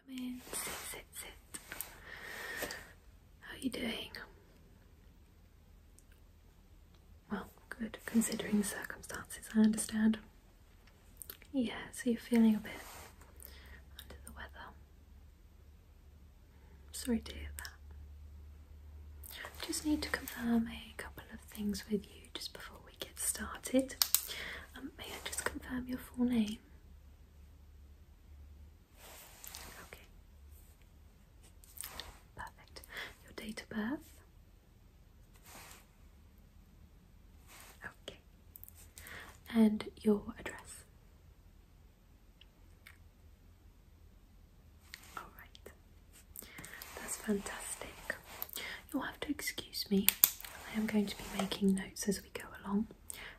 Come in, sit, sit, sit. How are you doing? Well, good, considering the circumstances, I understand. Yeah, so you're feeling a bit under the weather. Sorry to hear that. I just need to confirm a couple of things with you just before we get started. Um, may I just confirm your full name? Okay. Perfect. Your date of birth? Okay. And your address? Alright. That's fantastic. You'll have to excuse me. I am going to be making notes as we go along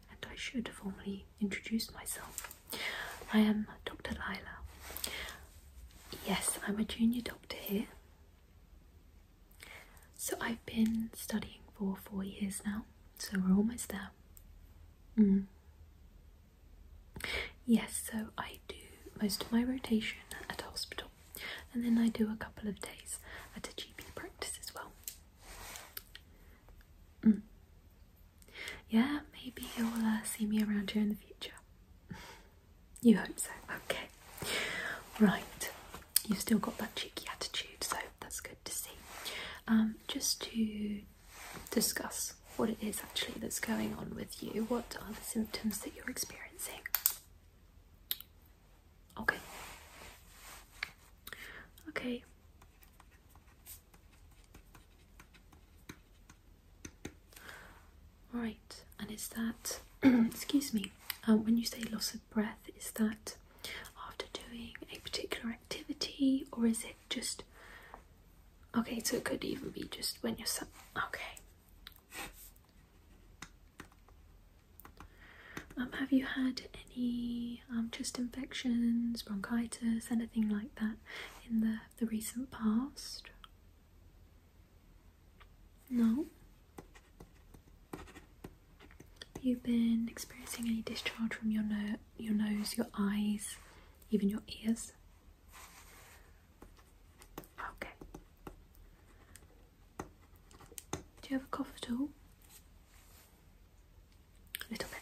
and I should formally introduce myself. I am Dr. Lila. Yes, I'm a junior doctor here. So I've been studying for four years now, so we're almost there. Mm. Yes, so I do most of my rotation at hospital and then I do a couple of days at a GP practice as well. Mm. Yeah, maybe you'll uh, see me around here in the future. you hope so, okay. Right, you've still got that cheeky attitude, so that's good to see. Um, just to discuss what it is actually that's going on with you, what are the symptoms that you're experiencing? Okay. Okay. Right, and is that, excuse me, uh, when you say loss of breath, is that after doing a particular activity or is it just, okay, so it could even be just when you're, okay. Um, have you had any um, chest infections, bronchitis, anything like that in the, the recent past? No. Have you been experiencing any discharge from your, your nose, your eyes, even your ears? Okay. Do you have a cough at all? little bit,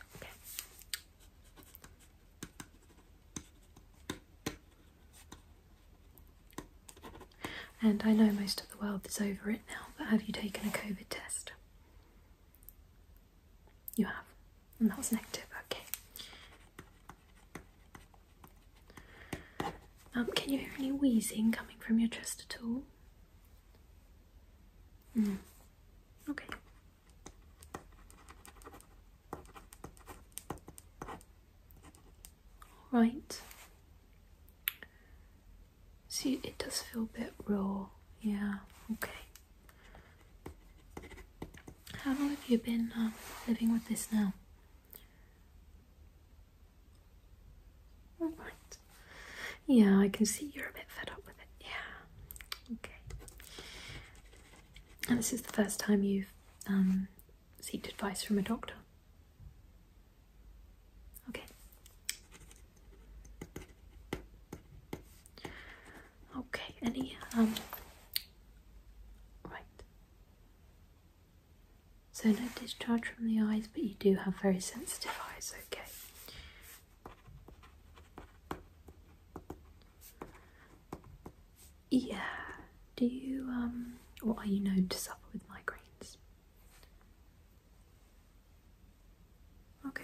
okay. And I know most of the world is over it now, but have you taken a COVID test? You have, and that was negative, okay. Um, can you hear any wheezing coming from your chest at all? Mm. Okay. Right. See, it does feel a bit raw. Yeah, okay. How long have you been um, living with this now? Alright. Yeah, I can see you're a bit fed up with it. Yeah. Okay. And this is the first time you've um, sought advice from a doctor. Okay. Okay, any um right. So no discharge from the eyes, but you do have very sensitive eyes, okay. Yeah. Do you um or are you known to suffer with migraines? Okay.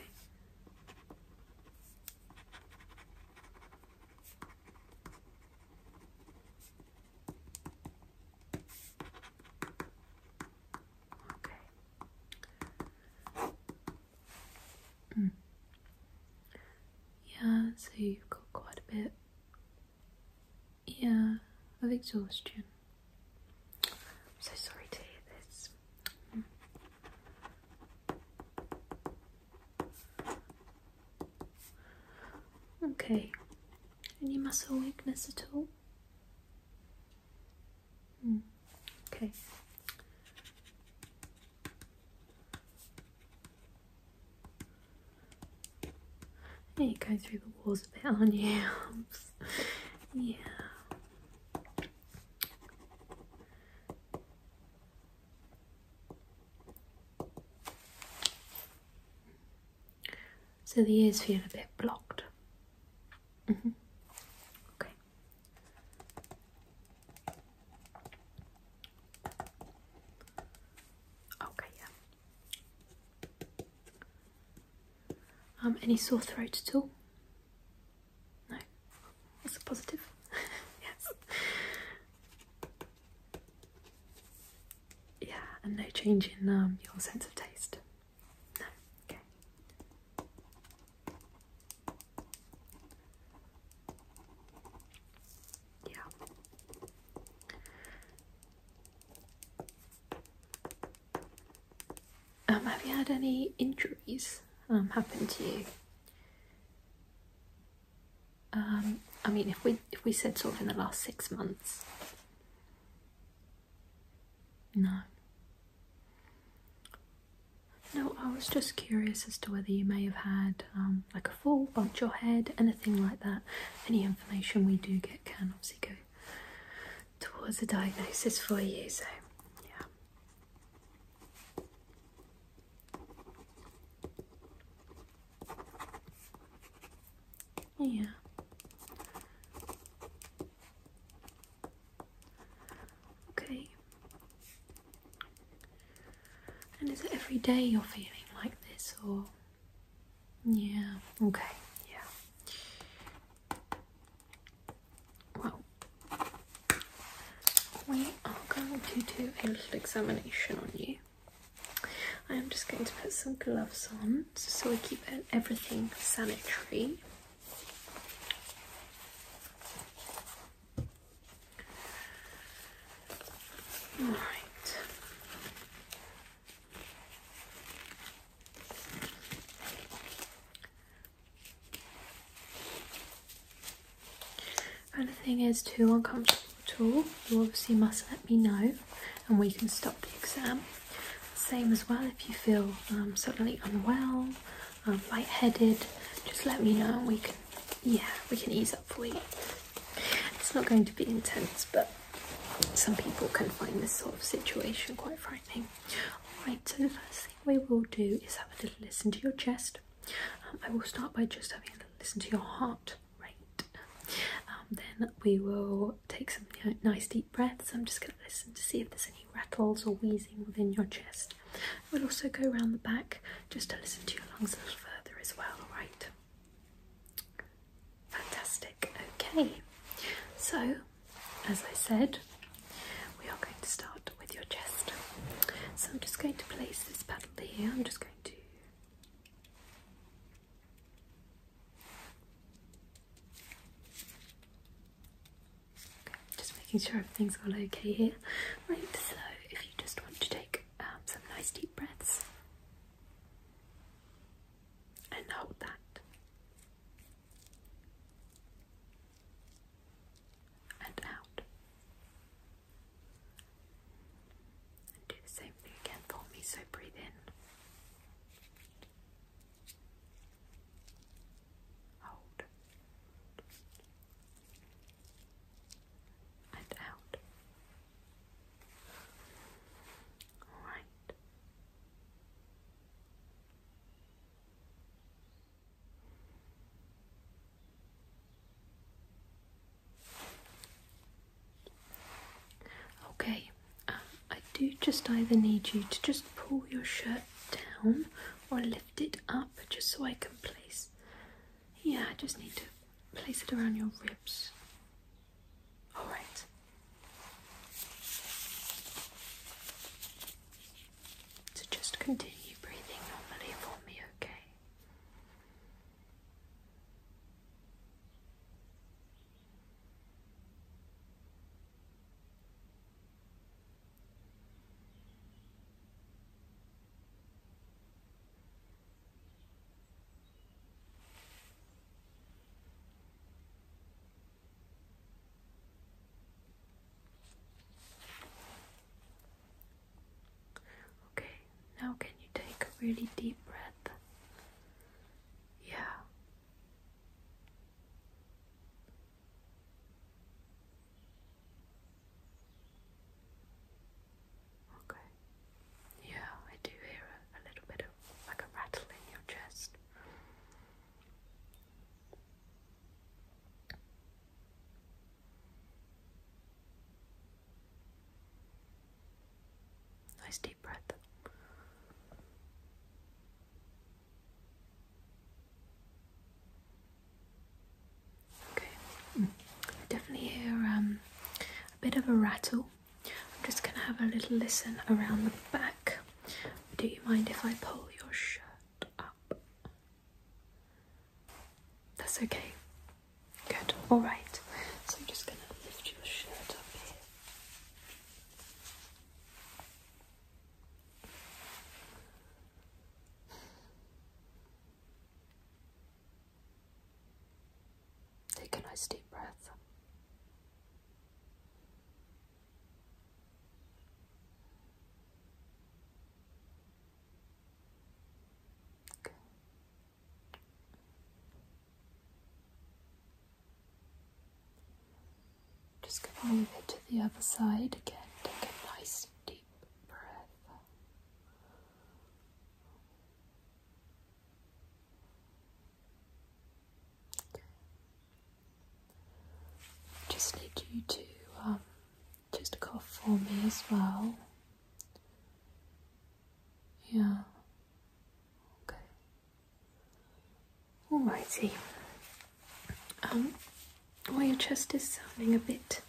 Okay. Mm. Yeah, so you've got quite a bit. Yeah, of exhaustion. I'm so sorry to hear this. Hmm. Okay. Any muscle weakness at all? Mm. Okay. you go through the walls a bit, are you? yeah. So the ears feel a bit blocked. Mm -hmm. Okay. Okay, yeah. Um, any sore throat at all? No. That's a positive. yes. Yeah, and no change in um, your sense of taste. Yeah. Um, have you had any injuries um, happen to you? Um, I mean, if we if we said sort of in the last six months, no. No, I was just curious as to whether you may have had um, like a fall, bumped your head, anything like that. Any information we do get can obviously go towards a diagnosis for you, so yeah. Yeah. Okay. And is it every day you're feeling like this or? Yeah, okay, yeah. Well, we are going to do a little examination on you. I am just going to put some gloves on so we keep everything sanitary. All right. Anything is too uncomfortable at all, you obviously must let me know and we can stop the exam. Same as well if you feel um, suddenly unwell, um, light-headed, just let me know we can, yeah, we can ease up for you. It's not going to be intense, but some people can find this sort of situation quite frightening. Alright, so the first thing we will do is have a little listen to your chest. Um, I will start by just having a listen to your heart rate. then we will take some nice deep deep breaths. I'm just going to listen to see if there's any rattles or wheezing within your chest. We'll also go around the back just to listen to your lungs a little further as well, alright? Fantastic. Okay, so as I said, we are going to start with your chest. So I'm just going to place this paddle here. I'm just going to just making sure everything's all okay here. Right, so if you just want to take um, some nice deep breaths and hold that and out, and do the same thing again for me. So breathe in. Hold. And out. All right. Okay, um, I do just either need you to just pull your shirt down or lift it up just so I can place. Yeah, I just need to place it around your ribs. Alright. So just continue breathing normally for me, okay? Okay, now can you take a really deep breath? Yeah. Okay. Yeah, I do hear a, little bit of like a rattle in your chest. Nice deep breath. Okay, I mm. definitely hear um, a bit of a rattle. I'm just going to have a little listen around the back. Do you mind if I pull your shirt up? That's okay. Good, alright. So I'm just going to lift your shirt up here. Take a nice deep breath. Okay. Just gonna move it to the other side again. Take a nice deep breath. Just need you to um, just cough for me as well. Yeah. Okay. Alrighty. Um, well, your chest is sounding a bit,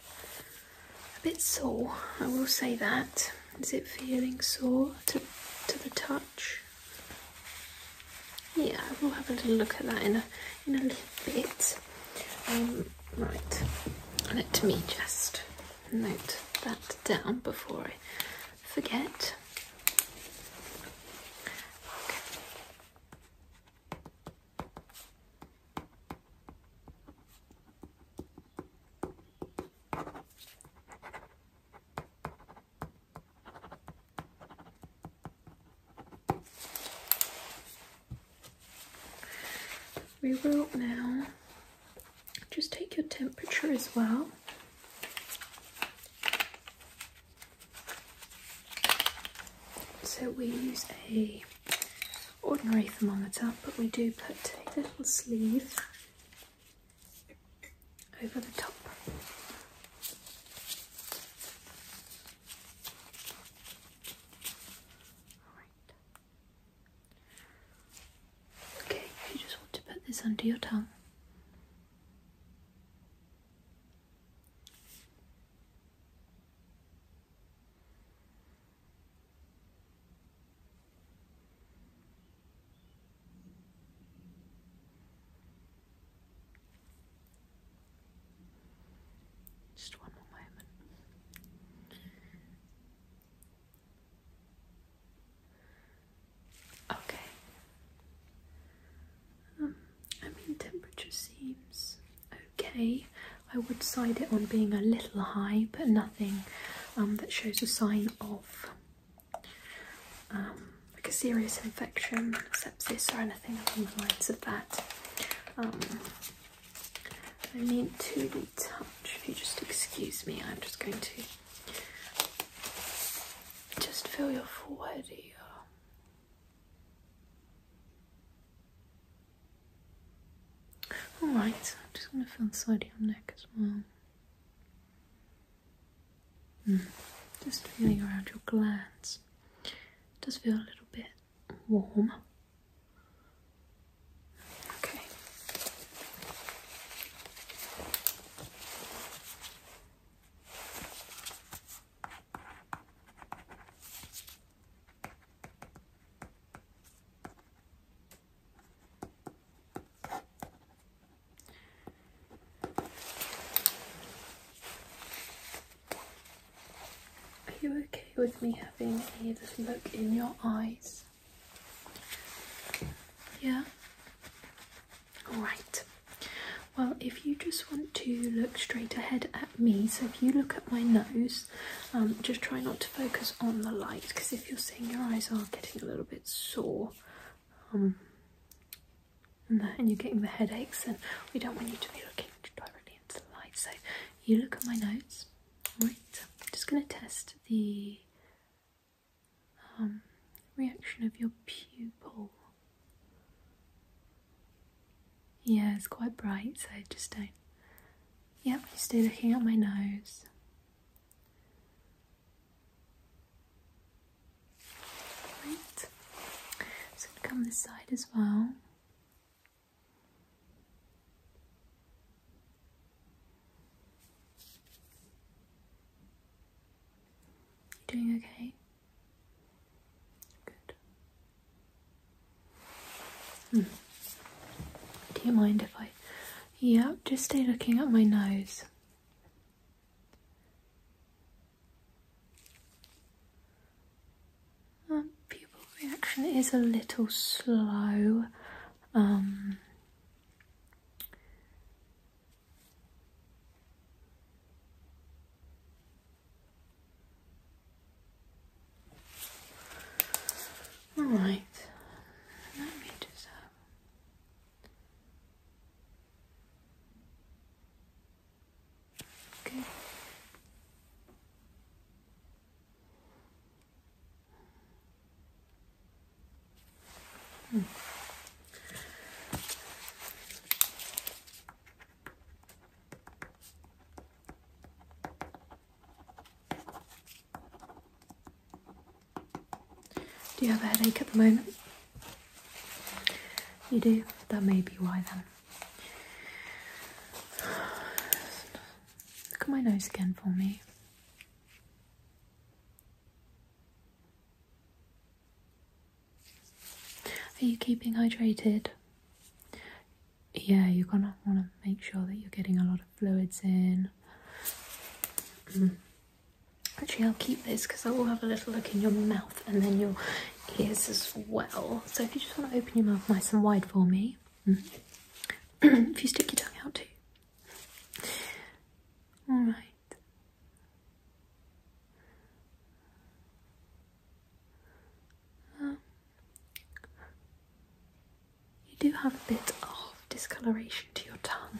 a bit sore. I will say that. Is it feeling sore to, to the touch? Yeah, we'll have a little look at that in a in a little bit. Um, right. Let me just note that down before I forget. Okay. We will now just take your temperature as well. So we use a ordinary thermometer, but we do put a little sleeve over the top. Okay, you just want to put this under your tongue. Just one more moment. Okay. I mean, temperature seems okay. I would side it on being a little high, but nothing um, that shows a sign of um, like a serious infection, sepsis, or anything along the lines of that. Um, I need to be touched. If you just excuse me, I'm just going to just feel your forehead here. Alright, I'm just going to feel inside your neck as well. Hmm, just feeling around your glands. does feel a little bit warm. Okay. Are you okay with me having a look in your eyes? Yeah? Right. Well, if you just want to look straight ahead at me, so if you look at my nose, um, just try not to focus on the light because if you're seeing your eyes are getting a little bit sore um, and, you're getting the headaches, and we don't want you to be looking directly into the light. So you look at my nose, right? I'm just going to test the um, reaction of your pupil yeah, it's quite bright, so I just don't. Yep, you stay looking at my nose. Right. So come this side as well. You doing okay? Hmm. Do you mind if I? Yeah, just stay looking at my nose. Um, pupil reaction is a little slow. Um, all right. Let me just have. Okay. Hmm. Do you have a headache at the moment? You do? That may be why then. Look at my nose again for me. Are you keeping hydrated? Yeah, you're gonna want to make sure that you're getting a lot of fluids in. Mm. Actually, I'll keep this because I will have a little look in your mouth and then your ears as well. So if you just want to open your mouth nice and wide for me, mm. if you stick your tongue out too. All right you do have a bit of discoloration to your tongue,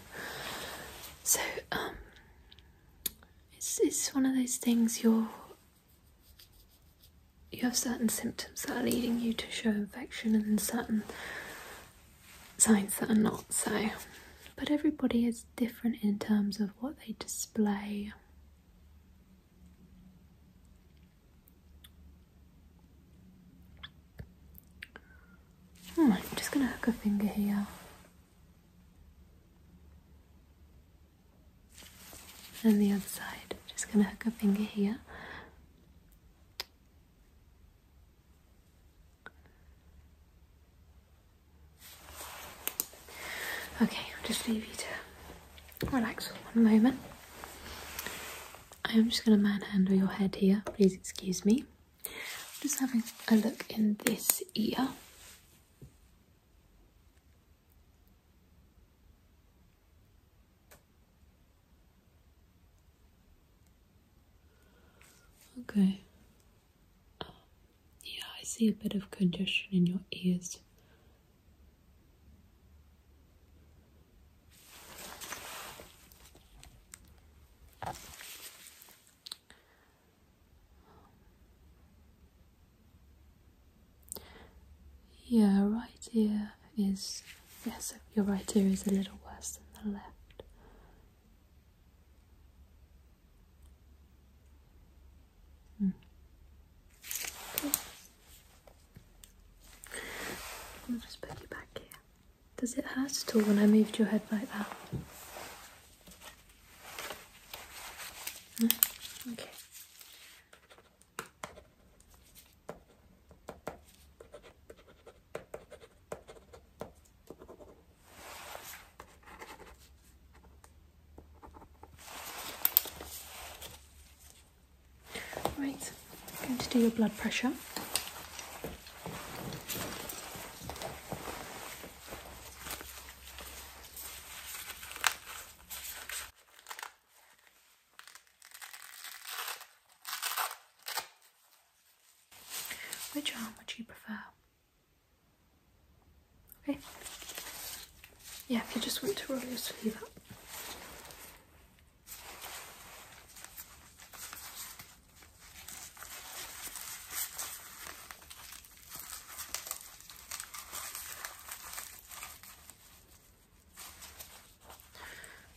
so um, it's it's one of those things you're you have certain symptoms that are leading you to show infection, and certain signs that are not so. But everybody is different in terms of what they display Hmm, I'm just going to hook a finger here. And the other side. Just going to hook a finger here. Okay, I'll just leave you to relax for one moment. I am just going to manhandle your head here, please excuse me. I'm just having a look in this ear. Okay. Yeah, I see a bit of congestion in your ears. Yeah, right ear is. Yes, your right ear is a little worse than the left. I'll just put you back here. Does it hurt at all when I moved your head like that? Hmm? Okay. Right, going to do your blood pressure. Which arm would you prefer? Okay. Yeah, if you just want to roll your sleeve up.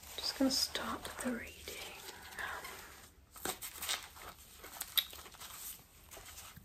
I'm just going to start the reading.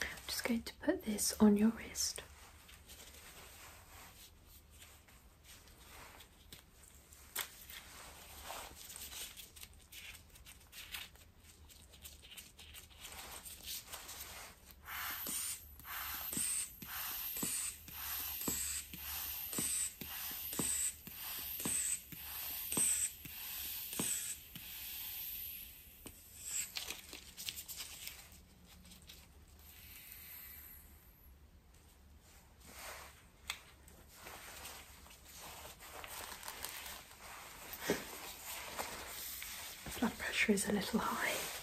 I'm just going to put this on your wrist blood pressure is a little high.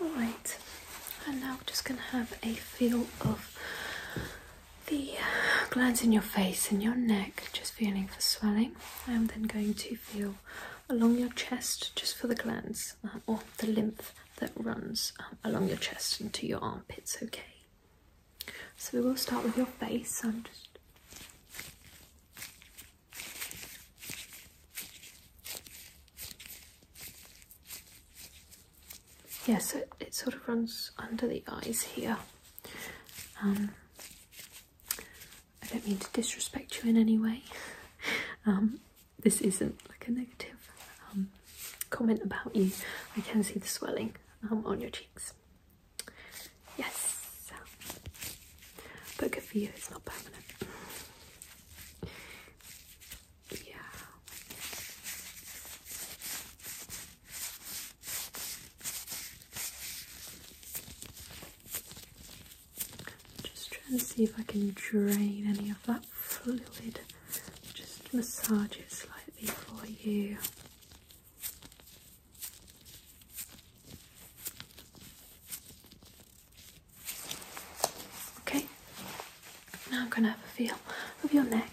Alright, and now we're just going to have a feel of the glands in your face and your neck, just feeling for swelling. I'm then going to feel along your chest just for the glands uh, or the lymph that runs um, along your chest into your armpits, okay? So we will start with your face. I'm just yeah, so it sort of runs under the eyes here. Um, I don't mean to disrespect you in any way. Um, this isn't like a negative um, comment about you. I can see the swelling um, on your cheeks. Yes, but good for you, it's not permanent. Yeah. Just trying to see if I can drain any of that fluid. Just massage it slightly for you. Okay, now I'm going to have a feel of your neck.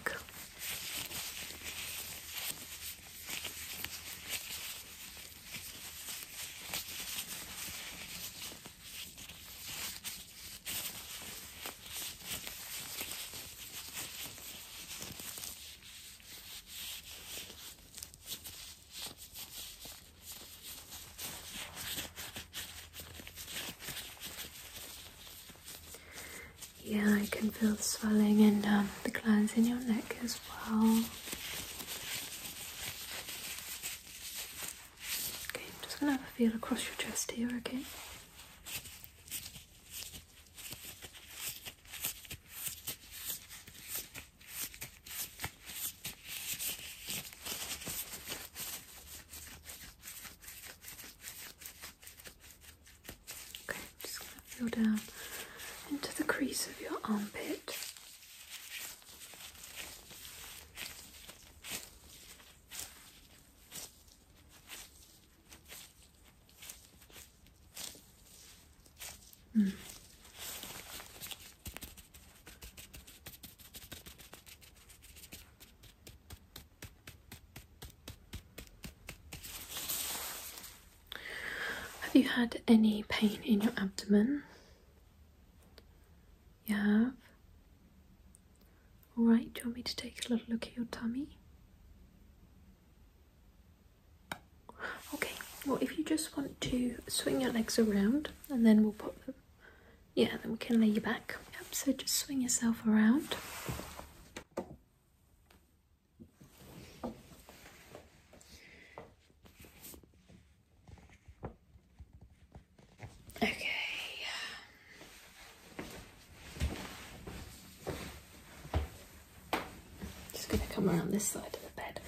Yeah, I can feel the swelling and um, the glands in your neck as well. Okay, I'm just going to have a feel across your chest here, okay? Okay, just going to feel down into the crease of your armpit. Have you had any pain in your abdomen? You have? Alright, do you want me to take a little look at your tummy? Okay, well, if you just want to swing your legs around and then we'll put them. Yeah, then we can lay you back. so just swing yourself around. Okay. Um, just going to come around this side of the bed.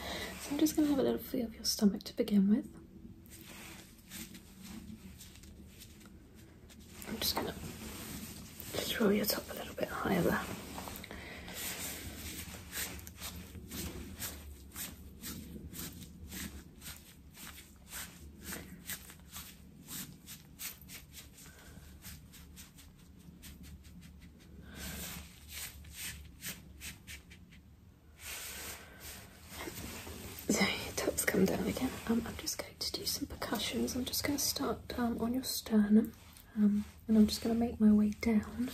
So I'm just going to have a little feel of your stomach to begin with. I'm just going to just roll your top a little bit higher so tops come down again. Um, I'm just going to do some percussions. I'm just going to start um, on your sternum, um, and I'm just going to make my way down.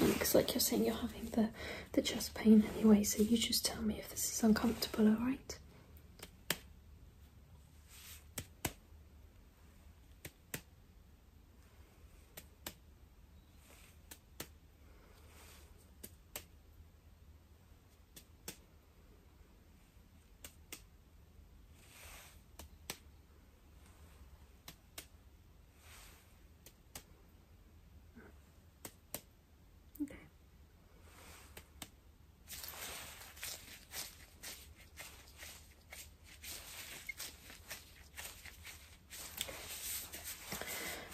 Looks like you're saying, you're having the the, chest pain anyway, so you just tell me if this is uncomfortable, alright? Okay.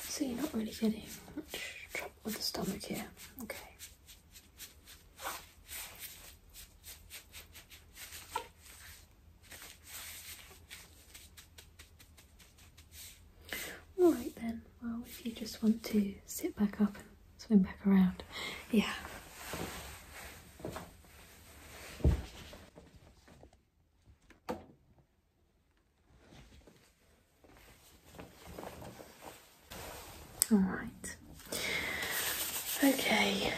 So you're not really getting much trouble with the stomach here. Okay. Alright then, well if you just want to sit back up and swing back around. Yeah. Alright. Okay,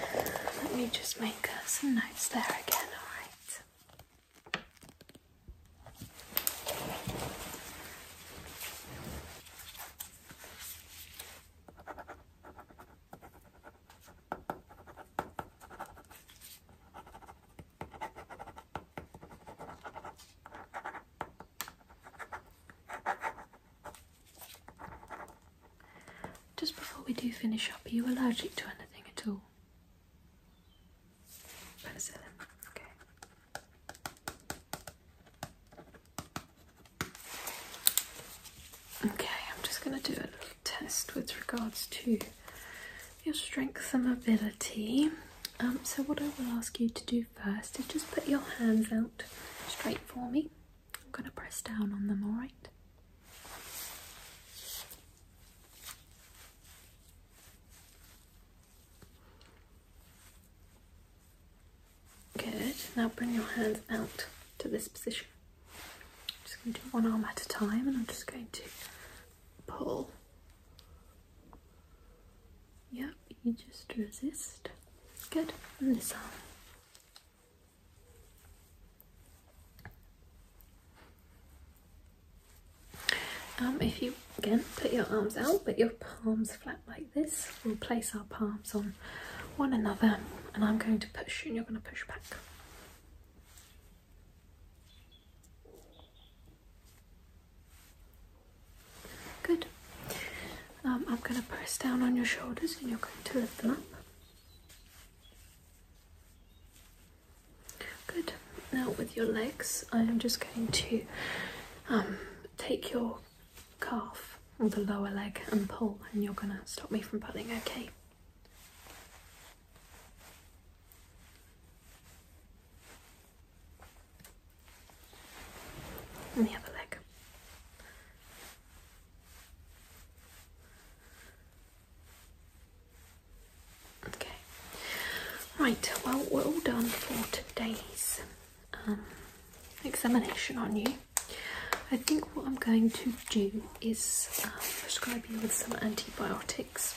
let me just make uh, some notes there again, alright? Just before we do finish up, are you allergic to anything at all? Okay. Okay, I'm just going to do a little test with regards to your strength and ability. Um, so, what I will ask you to do first is just put your hands out straight for me. I'm going to press down on them, alright? Good. Now bring your hands out to this position. just going to do one arm at a time and I'm just going to pull. Yep, you just resist. Good. this arm. Um, if you again put your arms out, but your palms flat like this, we'll place our palms on one another, and I'm going to push, and you're going to push back. Good. Um, I'm going to press down on your shoulders, and you're going to lift them up. Good. Now with your legs, I am just going to um, take your calf or the lower leg and pull, and you're going to stop me from pulling, okay? the other leg. Okay. Right, well, we're all done for today's um, examination on you. I think what I'm going to do is uh, prescribe you with some antibiotics.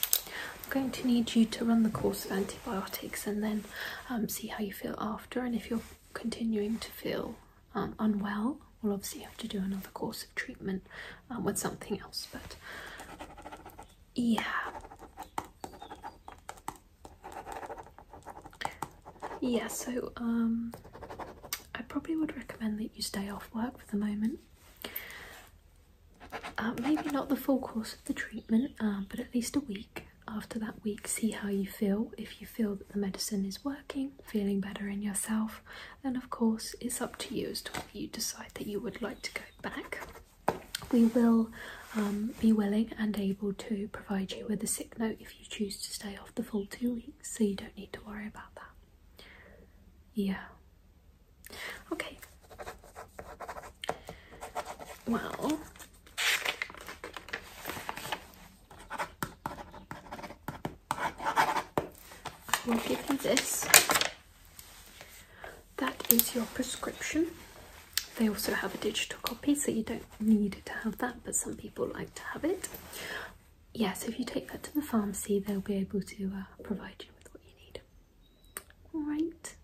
I'm going to need you to run the course of antibiotics and then um, see how you feel after. And if you're continuing to feel um, unwell, we'll obviously have to do another course of treatment with something else. But yeah, yeah, so um, I probably would recommend that you stay off work for the moment. Uh, maybe not the full course of the treatment, uh, but at least a week. After that week, see how you feel. If you feel that the medicine is working, feeling better in yourself, then of course it's up to you as to whether you decide that you would like to go back we will um, be willing and able to provide you with a sick note if you choose to stay off the full two weeks, so you don't need to worry about that. Yeah. Okay. Well, I will give you this that is your prescription. They also have a digital copy, so you don't need to have that, but some people like to have it. Yes, if you take that to the pharmacy, they'll be able to uh, provide you with what you need. All right.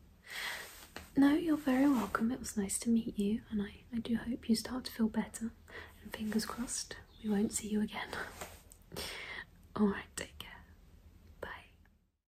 No, you're very welcome. It was nice to meet you, and I, I do hope you start to feel better. And fingers crossed, we won't see you again. All right, take care. Bye.